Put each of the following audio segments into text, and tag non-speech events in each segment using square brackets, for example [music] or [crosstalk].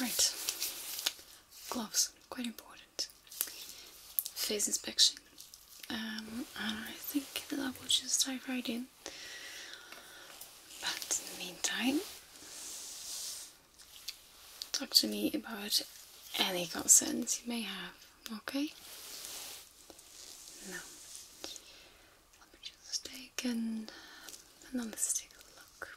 Right, gloves, quite important. Face inspection. Um, I think that I will just dive right in. But in the meantime, talk to me about any concerns you may have, okay? Now, let me just take an, another stick look.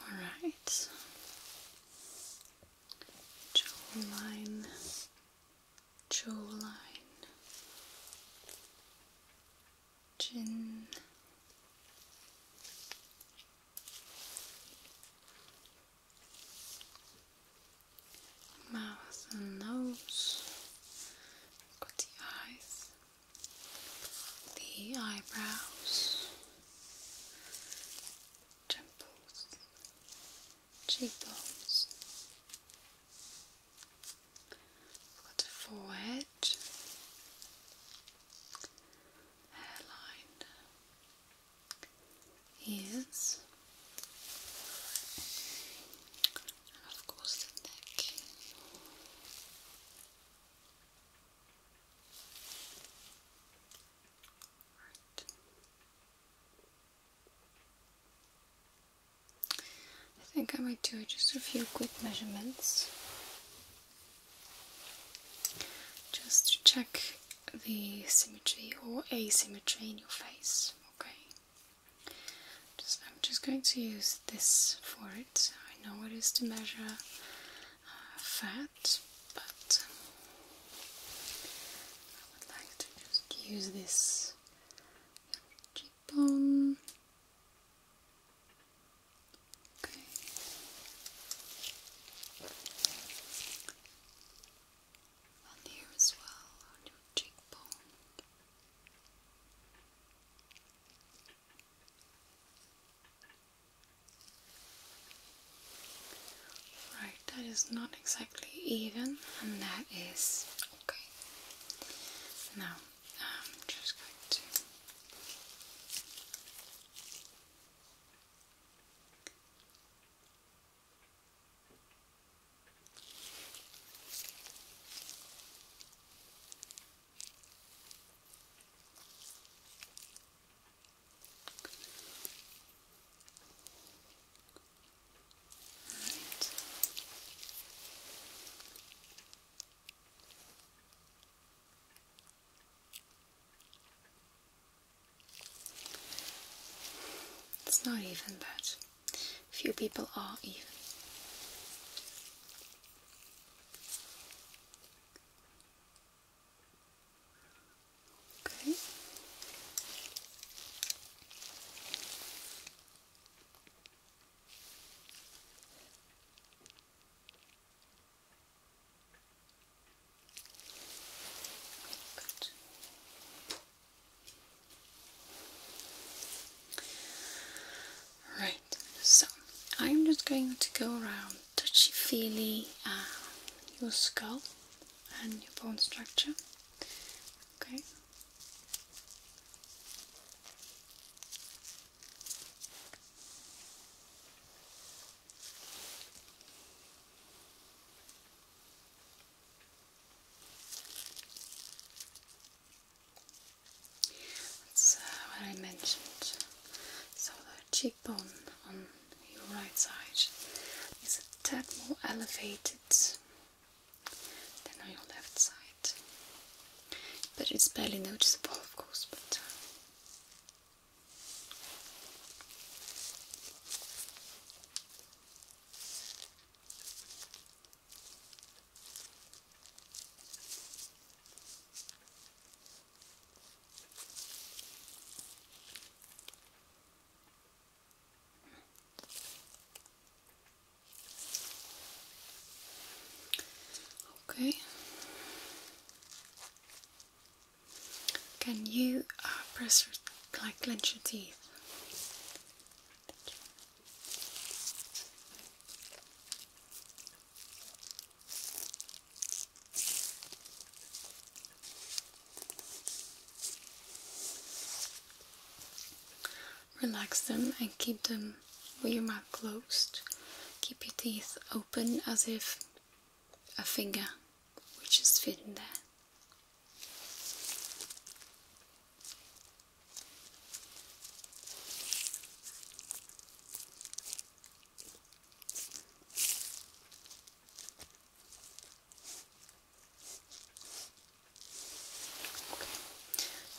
All right. Jawline, jawline, chin, mouth and nose. Got the eyes, the eyebrows, temples, cheekbones. Got the forehead, hairline, ears of course the neck. Right. I think I might do just a few quick measurements just to check the symmetry or asymmetry in your face, okay? I'm just going to use this for it. I know it is to measure uh, fat, but um, I would like to just use this cheekbone. Okay on here as well, on your cheekbone. Right, that is not exactly even, and that is okay. Now, I'm just going to it's not even, but Few people are even. Okay. Good. Right, so I'm just going to go around touchy feely uh, your skull and your bone structure. Okay. That's uh, what I mentioned. So the cheekbone on your right side is a tad more elevated than on your left side. But it's barely noticeable, of course. Uh, Okay. Can you uh, press like clench your teeth. Relax them and keep them with your mouth closed. Keep your teeth open as if a finger which is fit in there.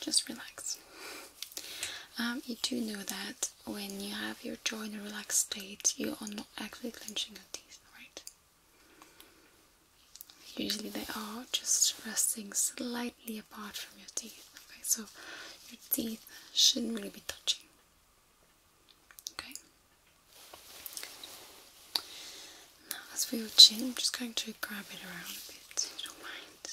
just relax. Um, you do know that when you have your jaw in a relaxed state, you are not actually clenching your teeth, right? Usually they are just resting slightly apart from your teeth. Okay, so your teeth shouldn't really be touching. Okay. Now as for your chin, I'm just going to grab it around a bit, don't mind.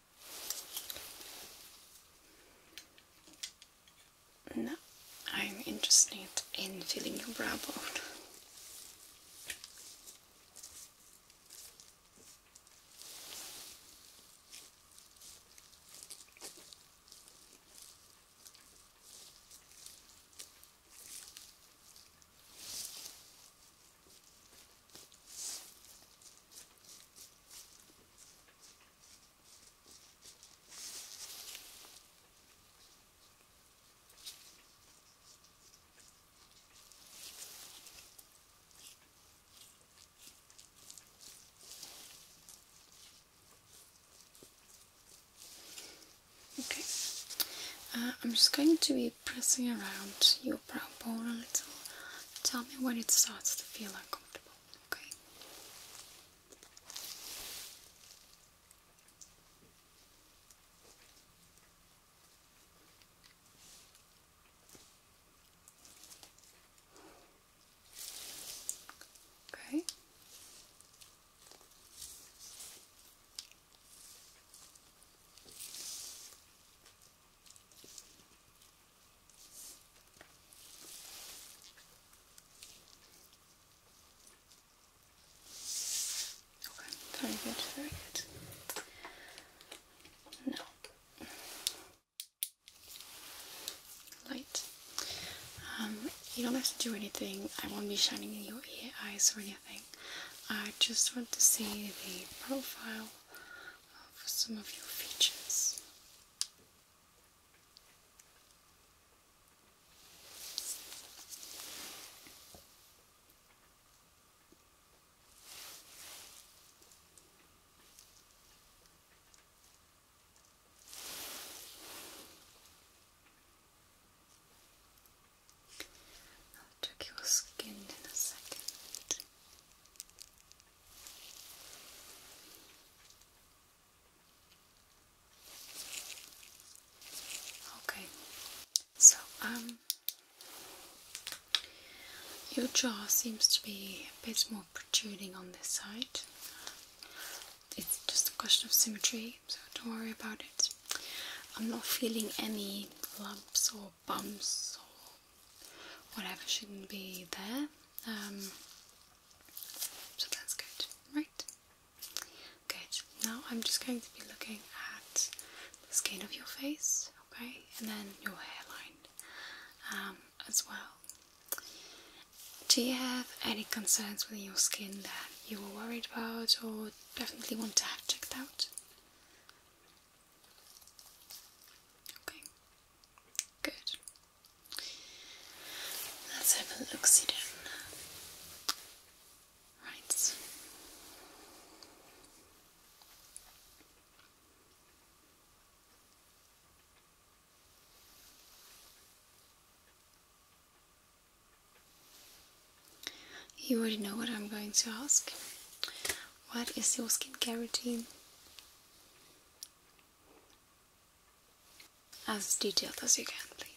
Now I'm interested in feeling your brow bone. Okay, uh, I'm just going to be pressing around your brow a little. Tell me when it starts to feel uncomfortable, okay? Okay. Okay, very good, very good. Now, light. Um, you don't have to do anything. I won't be shining in your ear, eyes, or anything. I just want to see the profile of some of your features. I'll check your skin in a second. Okay, so um, your jaw seems to be a bit more protruding on this side. It's just a question of symmetry, so don't worry about it. I'm not feeling any lumps or bumps or whatever shouldn't be there. Um, so that's good, right? Good. Now I'm just going to be looking at the skin of your face, okay, and then your hairline um, as well. Do you have any concerns with your skin that you were worried about or definitely want to have checked out? Okay, good. Let's have a look see then. Right. You already know what I'm going to ask. What is your skincare routine? As detailed as you can, please.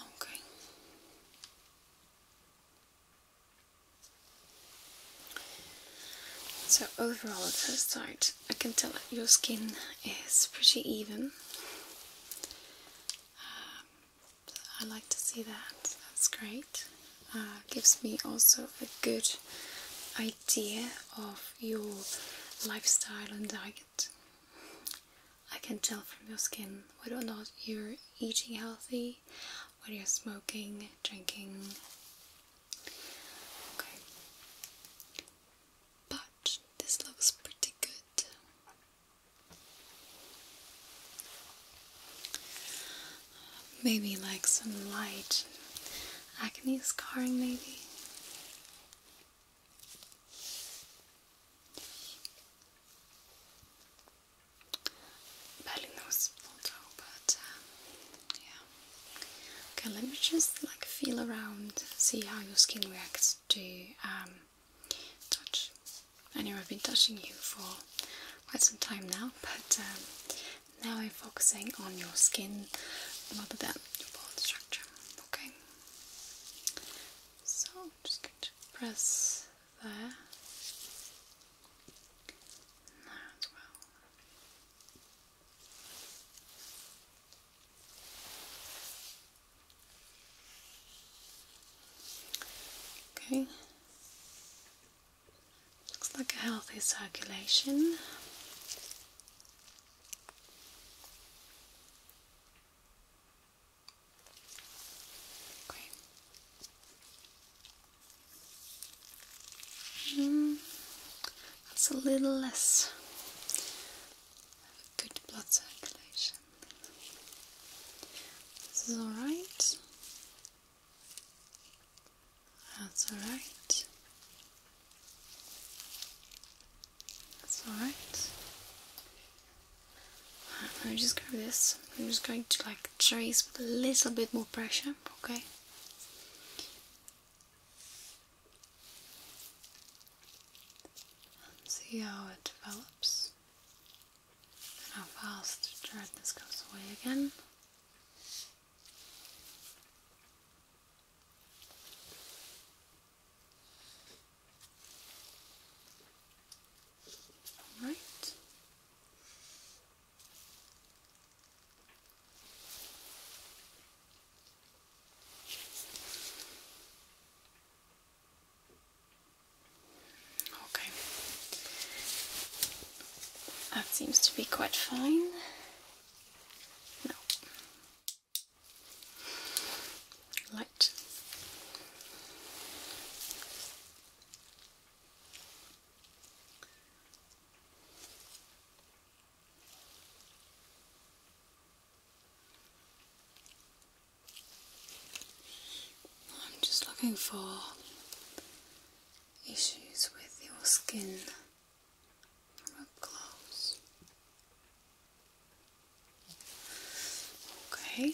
Okay. So overall at first sight I can tell that your skin is pretty even. Um, I like to see that, that's great. Uh, gives me also a good idea of your lifestyle and diet. I can tell from your skin whether or not you're eating healthy, whether you're smoking, drinking. But this looks pretty good. Maybe like some light acne scarring, maybe. Barely noticeable though, but um, yeah. Okay, let me just like feel around, see how your skin reacts to um, touch. I know I've been touching you for quite some time now, [laughs] but um, now I'm focusing on your skin rather than your bone structure. Okay. So just press there. there as well. Okay. Looks like a healthy circulation. Hmm. that's a little less good blood circulation. This is all right. That's all right. That's all right. Let me just grab this. I'm just going to like trace with a little bit more pressure, okay? see how it develops how fast this goes away again. All right. Okay. That seems to be quite fine. No. Light. I'm just looking for issues with your skin close. Okay.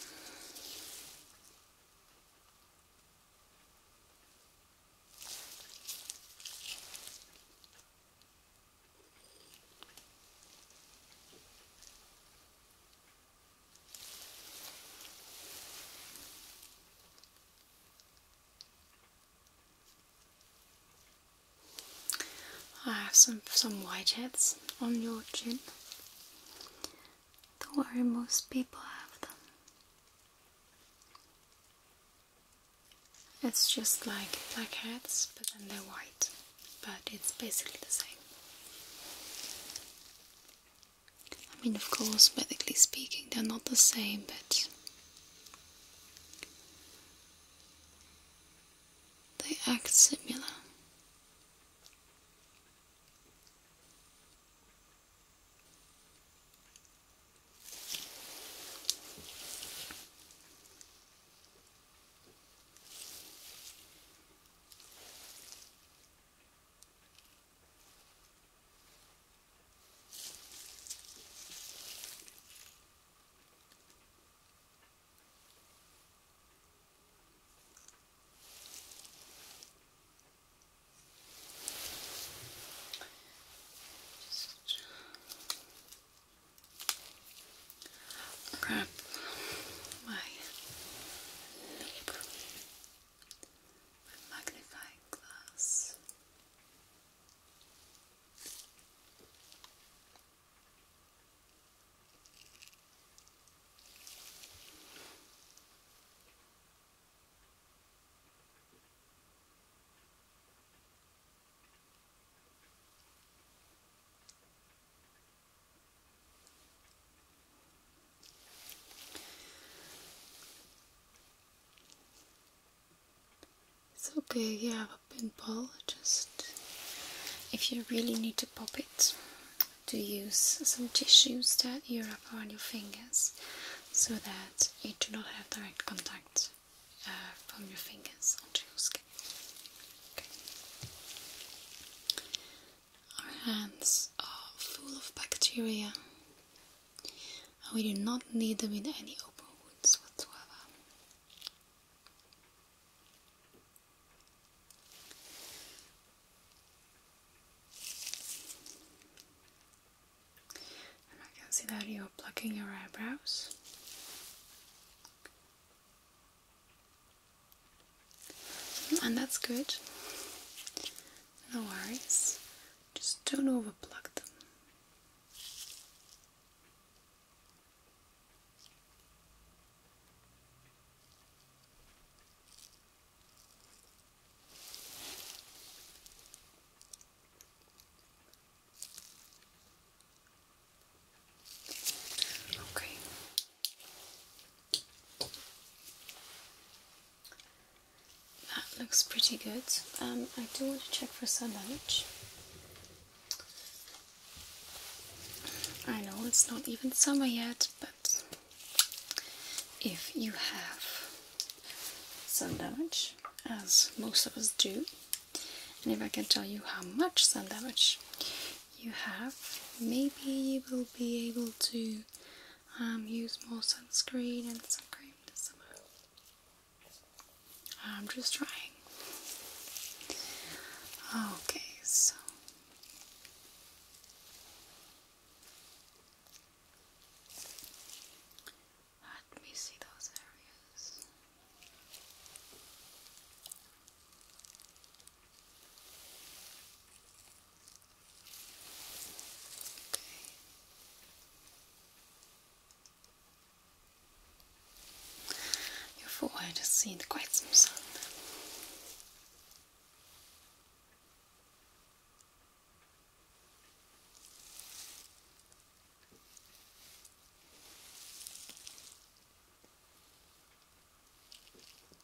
I have some some whiteheads on your chin. Don't worry, most people have them. It's just like blackheads, but then they're white. But it's basically the same. I mean, of course, medically speaking, they're not the same, but they act similar. Just wrap my look my magnifying glass. It's okay, you have a pinball. just if you really need to pop it, to use some tissues that you wrap around your fingers so that you do not have direct contact uh, from your fingers onto your skin. Our hands are full of bacteria. And we do not need them in any open woods whatsoever. I can see that you're plucking your eyebrows. And that's good. No worries. Just don't overplug them. Okay. That looks pretty good. Um, I do want to check for sun damage. I know it's not even summer yet, but if you have sun damage, as most of us do, and if I can tell you how much sun damage, you have, maybe you will be able to um, use more sunscreen and sun cream this summer. I'm just trying. Okay, so. Let me see those areas. Your forehead has seen quite some sun.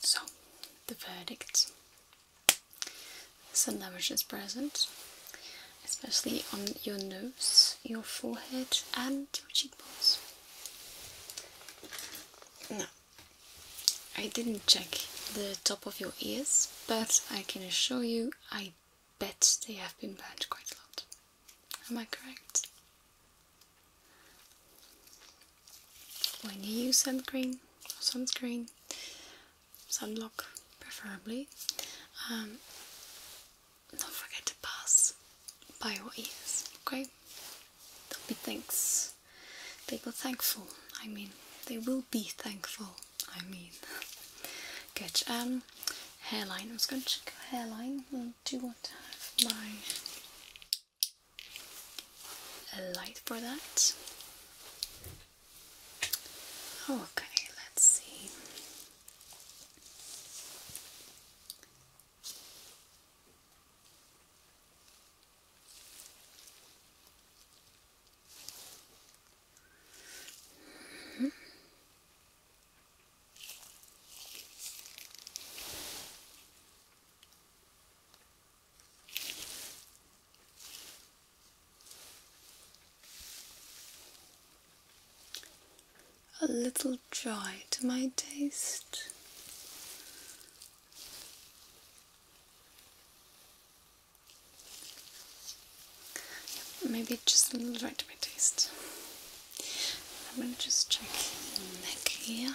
So, the verdict. Sun damage is present, especially on your nose, your forehead, and your cheekbones. Now, I didn't check the top of your ears, but I can assure you I bet they have been burned quite a lot. Am I correct? When you use sunscreen, sunscreen, sunblock preferably, um, don't forget to pass by your ears, okay? Don't be thanks. They were thankful, I mean, they will be thankful, I mean. [laughs] Good, um, hairline, I am just going to check hairline, hmm, do want to have my a light for that. Okay, let's see. A little dry to my taste. Maybe just a little dry to my taste. I'm going to just check the neck here.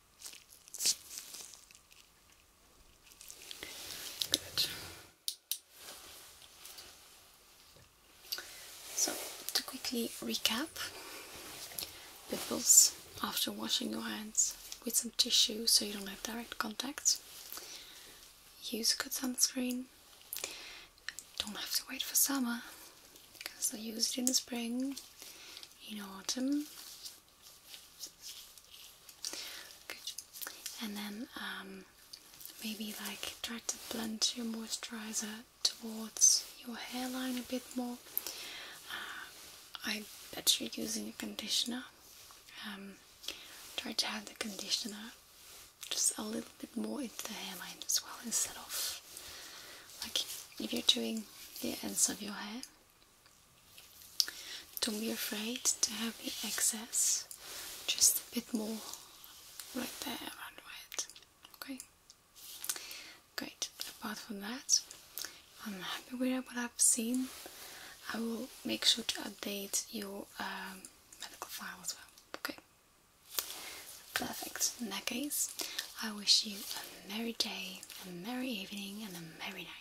Good. So, to quickly recap, pimples after washing your hands with some tissue so you don't have direct contact. Use good sunscreen. Don't have to wait for summer because I use it in the spring, in autumn, and then um, maybe like try to blend your moisturizer towards your hairline a bit more. Uh, I bet you're using a conditioner. Um, try to have the conditioner just a little bit more in the hairline as well instead of like if you're doing the ends of your hair don't be afraid to have the excess just a bit more right there around where it. Okay? Great. Apart from that, I'm happy with what I've seen. I will make sure to update your um, medical file as well. Okay? Perfect. In that case, I wish you a merry day, a merry evening, and a merry night